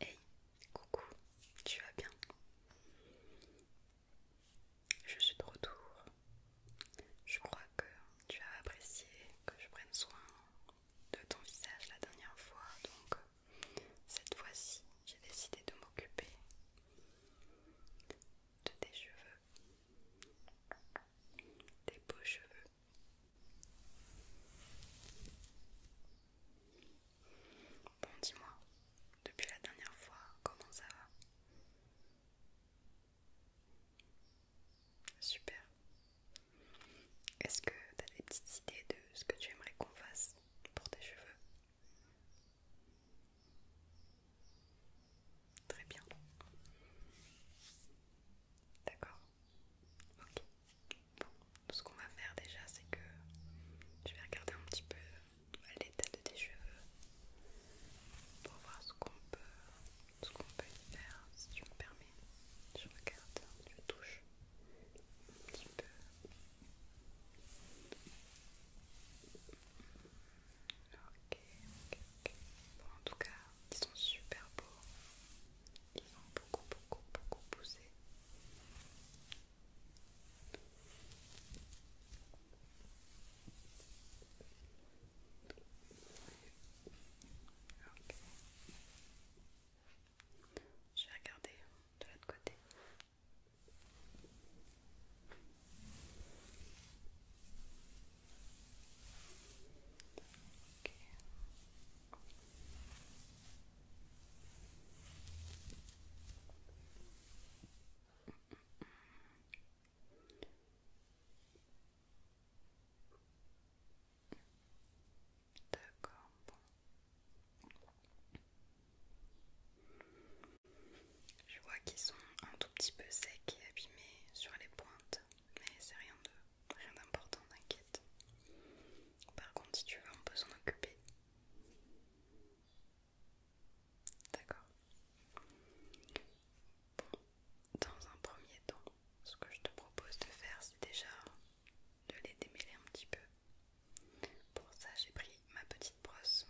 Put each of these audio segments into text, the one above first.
Hey, coucou, tu vas bien Je suis de retour. Je crois que tu as apprécié que je prenne soin de ton visage la dernière fois, donc cette fois-ci, j'ai décidé de m'occuper de tes cheveux, tes beaux cheveux. Bon, dis-moi, depuis la dernière fois, comment ça va Super. Est-ce que tu as des petites idées de ce que tu aimerais qu'on fasse pour tes cheveux Très bien. D'accord. Ok. Bon, ce qu'on va faire déjà, c'est que je vais regarder un petit peu euh, l'état de tes cheveux pour voir ce qu'on peut, ce qu'on peut y faire, si tu me permets. Je regarde, je touche un petit peu. Ok, ok, ok. Bon, en tout cas, ils sont super beaux. Ils beaucoup, beaucoup, beaucoup pousser. Ok. Je vais regarder de l'autre côté. D'accord, Je vois qu'ils sont un tout petit peu secs et abîmés sur les pointes, mais c'est rien de rien d'important, t'inquiète. Par contre, si tu veux, on peut s'en occuper. D'accord. Bon, dans un premier temps, ce que je te propose de faire, c'est déjà de les démêler un petit peu. Pour ça, j'ai pris ma petite brosse.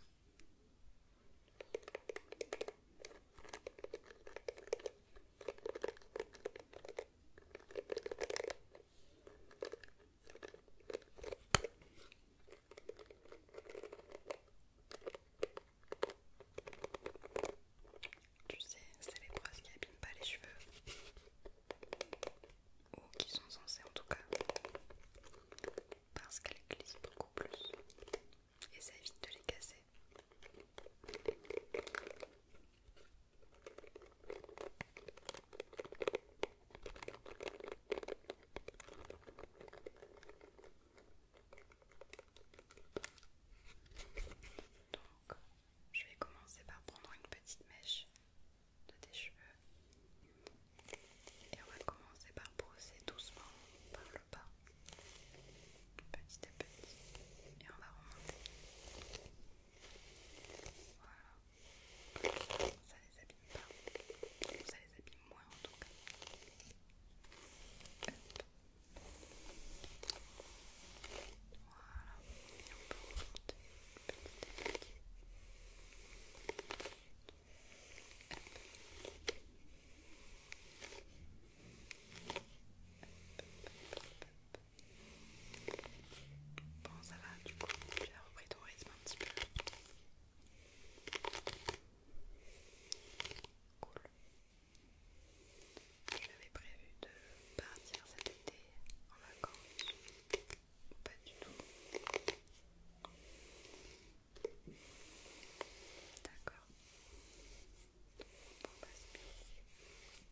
Tu sais, c'est les brosses qui abîment pas les cheveux. Ou qui sont censées en tout cas. Parce qu'elles glissent beaucoup plus. Et ça évite de les casser. Donc, je vais commencer par prendre une petite mèche de tes cheveux et on va commencer par brosser doucement par le bas, petit à petit, et on va remonter. Voilà. Ça les abîme pas. Ça les abîme moins en tout cas. Voilà. Bon, ça va, du coup, tu as repris ton rythme un petit peu. Cool. J'avais prévu de partir cet été en vacances. Pas du tout. D'accord. Bon, bah, c'est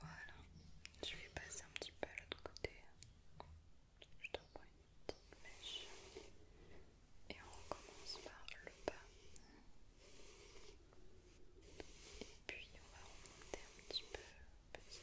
Voilà, je vais passer un petit peu à l'autre côté. Je t'envoie une petite mèche et on recommence par le bas. Et puis on va remonter un petit peu petit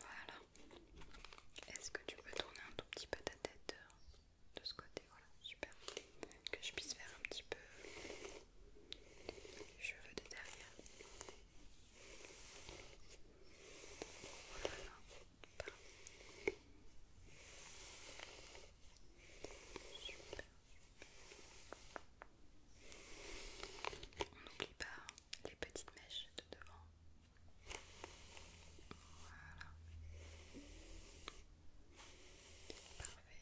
Voilà. Est-ce que tu peux tourner un tout petit peu ta tête euh, de ce côté Voilà, super. Que je puisse faire un petit peu les cheveux de derrière. Voilà. Super. On n'oublie pas hein les petites mèches de devant. Voilà. Parfait.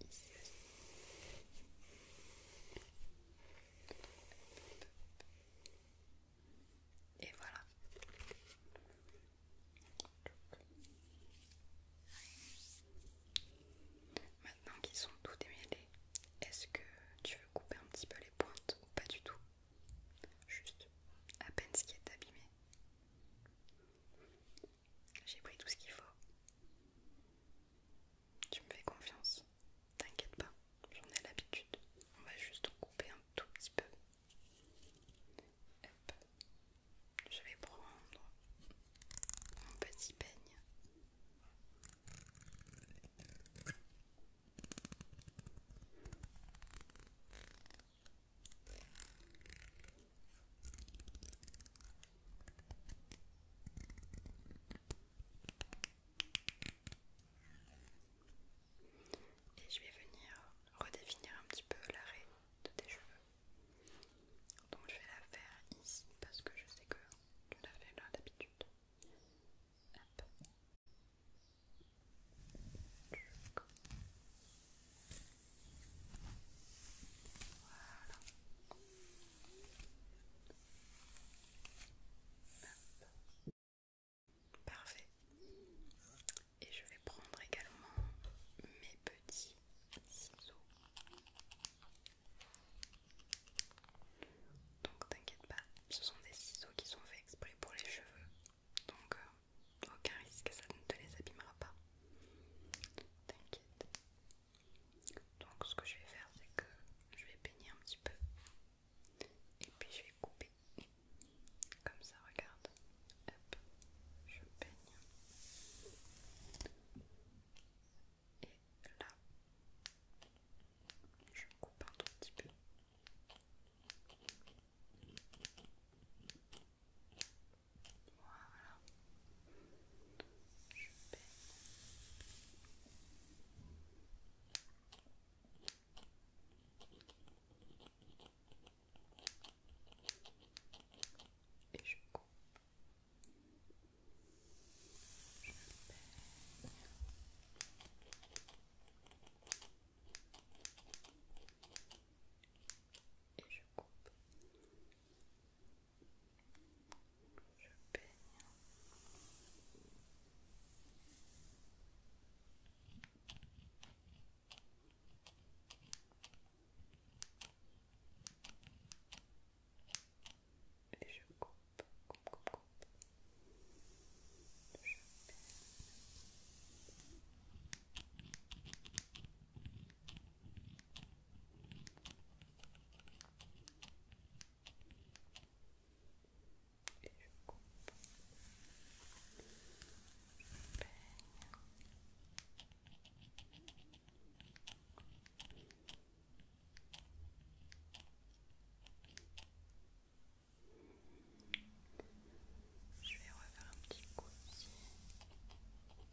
Ici aussi. Et voilà. Maintenant qu'ils sont tous démêlés, est-ce que tu veux couper un petit peu les pointes ou pas du tout Juste à peine ce qui est abîmé. J'ai pris tout ce qu'il faut. Tu me fais confiance, t'inquiète pas, j'en ai l'habitude. On va juste couper un tout petit peu. Hop. Je vais prendre mon petit peigne et je vais venir redéfinir un petit peu l'arrêt de tes cheveux. Donc je vais la faire ici parce que je sais que tu l'as fait là d'habitude. Parfait. Et je vais prendre également mes petits ciseaux. Donc t'inquiète pas, ce sont des ciseaux qui sont faits exprès pour les cheveux. Donc euh, aucun risque, ça ne te les abîmera pas. T'inquiète. Donc ce que je vais faire, c'est que je vais peigner un petit peu. Et puis je vais couper. Comme ça, regarde. Hop, je peigne. Et là, je coupe un tout petit peu. Voilà. Je peine. Et je coupe et je coupe. Je peigne. Je et je coupe, coupe, coupe, Et je coupe. Je vais refaire un petit coup ici. Hop.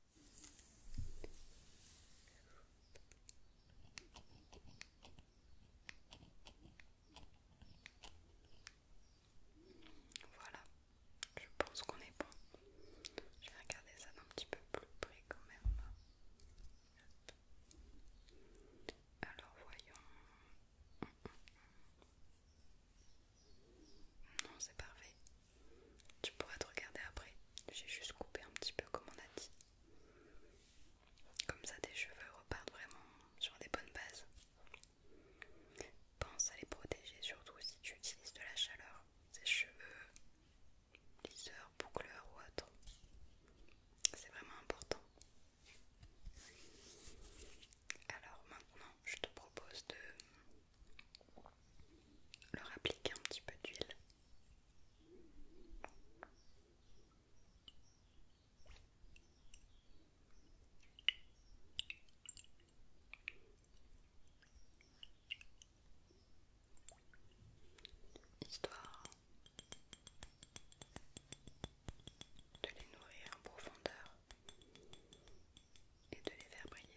Voilà, je pense qu'on est bon. Je vais regarder ça d'un petit peu plus près quand même. Alors voyons. Non, c'est parfait. Tu pourras te regarder après. J'ai juste coupé un petit peu comme on a dit. Comme ça tes cheveux repartent vraiment sur des bonnes bases. Pense à les protéger surtout si tu utilises de la chaleur. Ces cheveux liseurs, boucleurs ou autres. C'est vraiment important. Alors maintenant, je te propose de leur appliquer un petit peu d'huile. Histoire de les nourrir en profondeur et de les faire briller.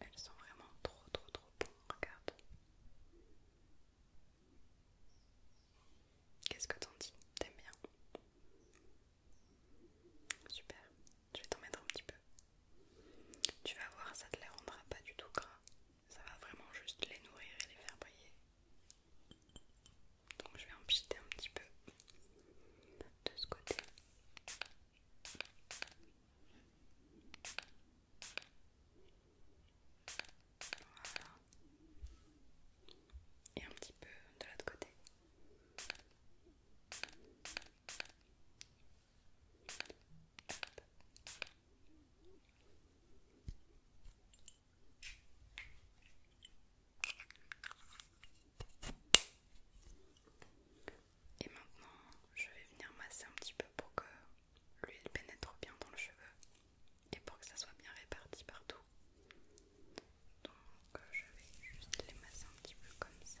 Elles sont vraiment trop trop trop bonnes, regarde. Qu'est-ce que t'en dis T'aimes bien Super, je vais t'en mettre un petit peu. Tu vas voir, ça te les rendra pas du tout gras ça va vraiment juste les nourrir et les faire briller. Donc je vais en un petit peu de ce côté. Voilà. Et un petit peu de l'autre côté. Et maintenant, je vais venir masser un petit peu pour que l'huile pénètre bien dans le cheveu et pour que ça soit bien réparti partout. Donc euh, je vais juste les masser un petit peu comme ça.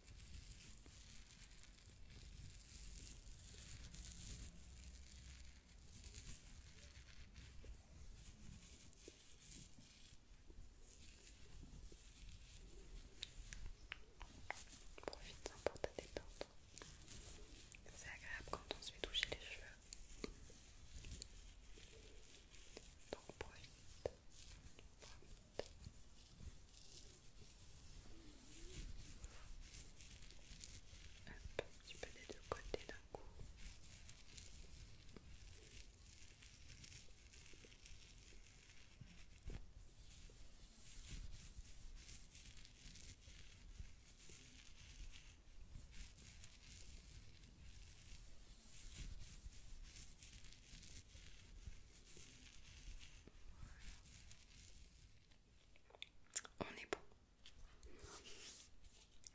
Profite-en pour te détente. C'est agréable quand on se fait toucher les cheveux. Donc un petit peu des deux côtés d'un coup. Voilà on est bon.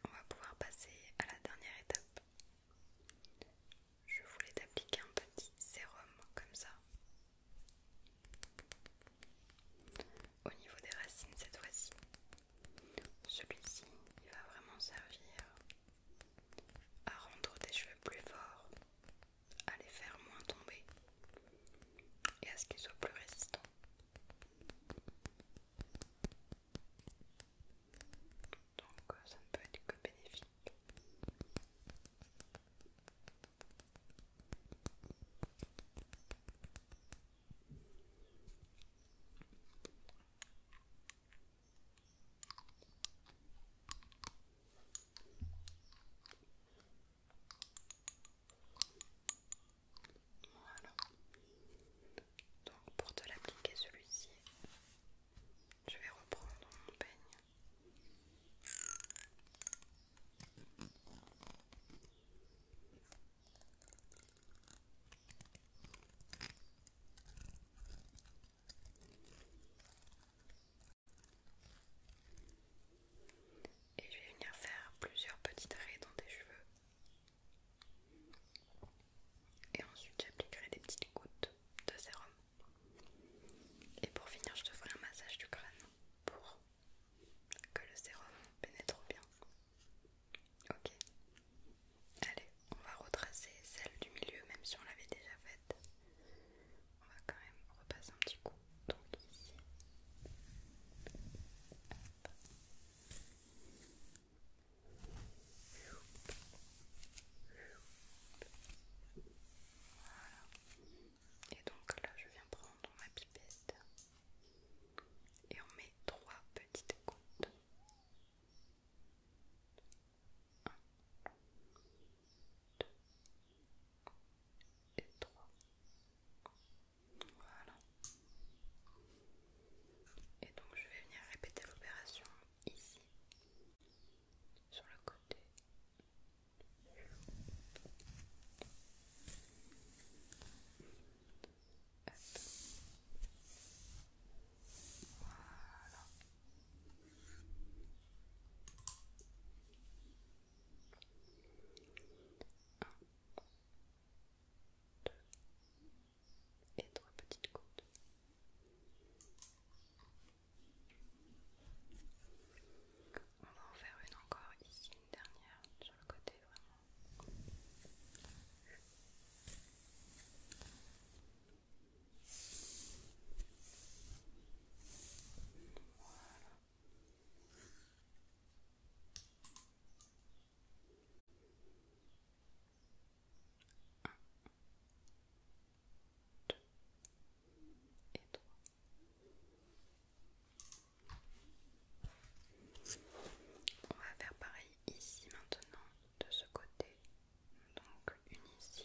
On va pouvoir passer à la dernière étape. Je voulais t'appliquer un petit sérum comme ça. Au niveau des racines cette fois-ci. Celui-ci, va vraiment servir à rendre tes cheveux plus forts, à les faire moins tomber et à ce qu'ils soient plus résistants. Donc euh, ça ne peut être que bénéfique. Voilà. Donc pour te l'appliquer celui-ci, je vais reprendre mon peigne. Et je vais venir faire plusieurs petites raies dans tes cheveux. Et ensuite j'appliquerai des petites gouttes de sérum. Et pour finir je te ferai un massage du crâne pour que le sérum pénètre bien. Ok. Allez, on va retracer celle du milieu même si on l'avait déjà faite on va quand même repasser un petit coup donc ici Et donc là, je viens prendre ma pipette et on met trois petites gouttes et 3. Voilà. Et donc je vais venir répéter l'opération ici, sur le côté. Hop. Voilà et trois petites côtes. On va en faire une encore ici, une dernière sur le côté on va faire pareil ici maintenant de ce côté. Donc une ici,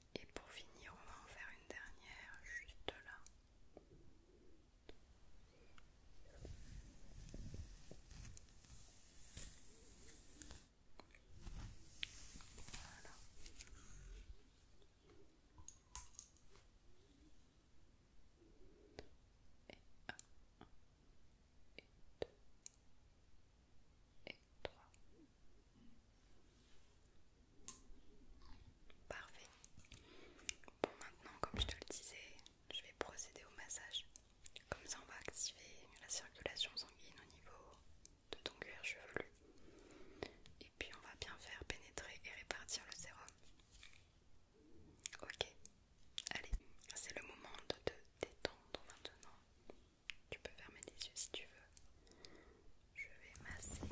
Et pour finir, on va en faire une dernière juste là. Et 1, 2, et 3. Parfait. Bon, maintenant, comme je te le disais, je vais procéder au massage. Comme ça, on va activer la circulation sanguine au niveau de ton cuir chevelu. Et puis, on va bien faire pénétrer et répartir le sérum. Ok, allez, c'est le moment de te détendre maintenant. Tu peux fermer les yeux si tu veux je vais masser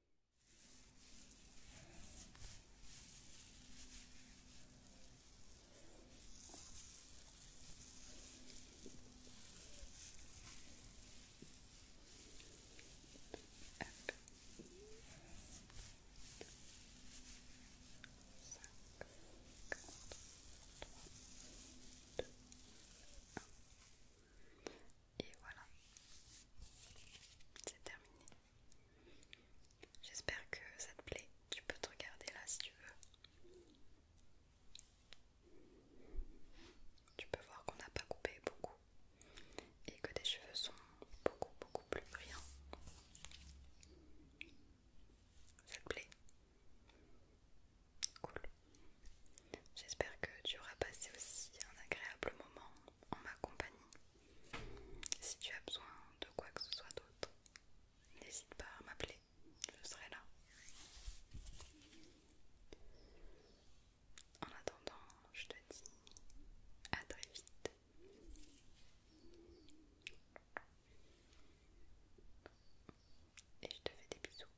Et voilà, c'est terminé. J'espère que ça te plaît. Tu peux te regarder là si tu veux. Tu peux voir qu'on n'a pas coupé beaucoup et que tes cheveux sont beaucoup beaucoup plus brillants. Ça te plaît Cool. J'espère que tu auras passé aussi un agréable moment en ma compagnie. Si tu as besoin de quoi que ce soit d'autre, n'hésite pas à m'appeler, je serai là. En attendant, je te dis à très vite. Et je te fais des bisous.